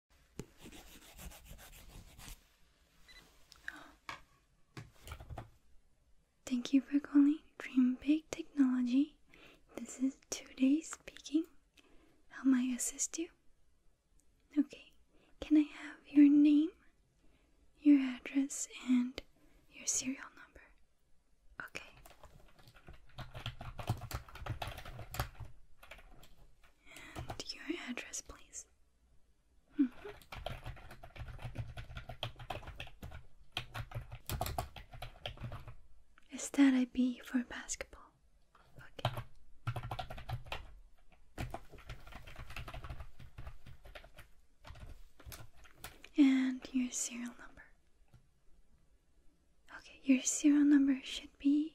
Thank you for calling Dream Big Technology. This is today speaking. How may I assist you? Okay, can I have your name, your address, and your serial number? Okay. And your address, please. Mm -hmm. Is that IB for basketball? Okay. And your serial number. Okay, your serial number should be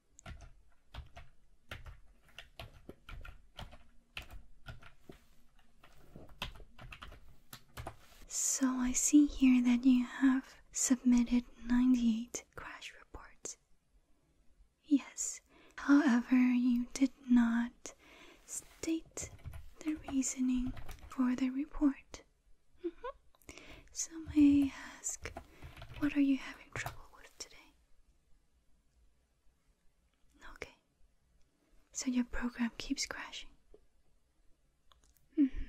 so I see here that you have submitted 98 crash reports. Yes, however, you did not state the reasoning for the report. Mm-hmm. So may I ask, what are you having trouble with today? Okay. So your program keeps crashing. Mm-hmm.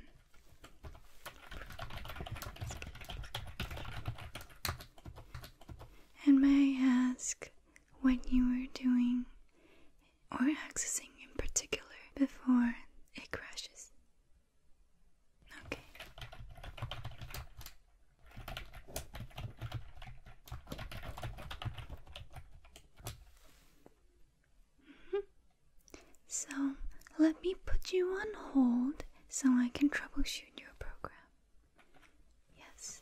And may I ask what you were doing or accessing in particular before it crashes? Okay. So let me put you on hold so I can troubleshoot your program. Yes.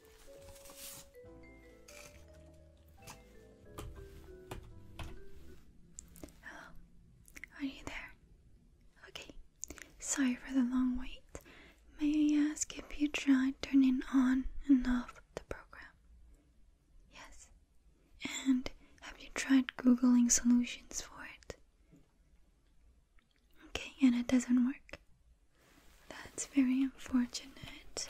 Hello, are you there? Okay, sorry for the long wait. May I ask if you tried turning on and off the program? Yes. And have you tried Googling solutions for it? Okay, and it doesn't work. That's very unfortunate.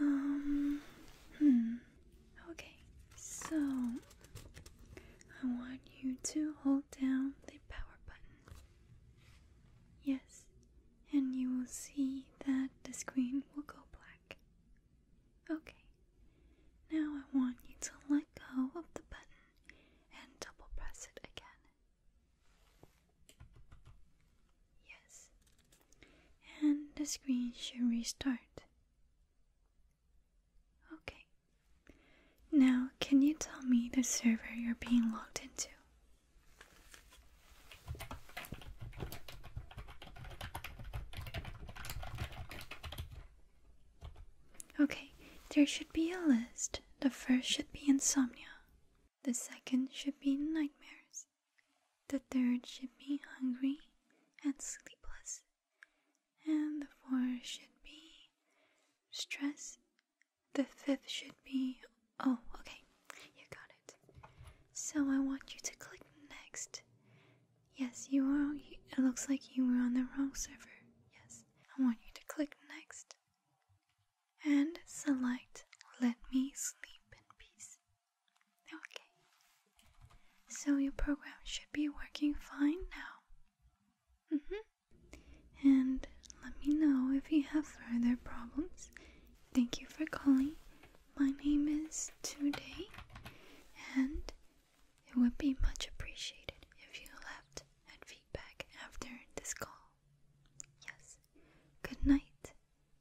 Um, hmm. Okay, so I want you to hold down the power button. Yes, and you will see that the screen will go black. Okay, now I want you to let go of the button and double press it again. Yes. And the screen should restart. Okay. Now, can you tell me the server you're being logged into? Okay, there should be a list the first should be insomnia, the second should be nightmares, the third should be hungry and sleepless, and the fourth should be stress, the fifth should be oh, okay, you got it. So I want you to click next. Yes, you are. It looks like you were on the wrong server. Yes, I want you to click next and select Let Me Sleep in Peace. Okay, so your program should be working fine now. Mm-hmm. And let me know if you have further problems. Thank you for calling. My name is Today, and it would be much appreciated if you left and feedback after this call. Yes. Good night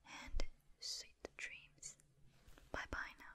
and sweet dreams. Bye bye now.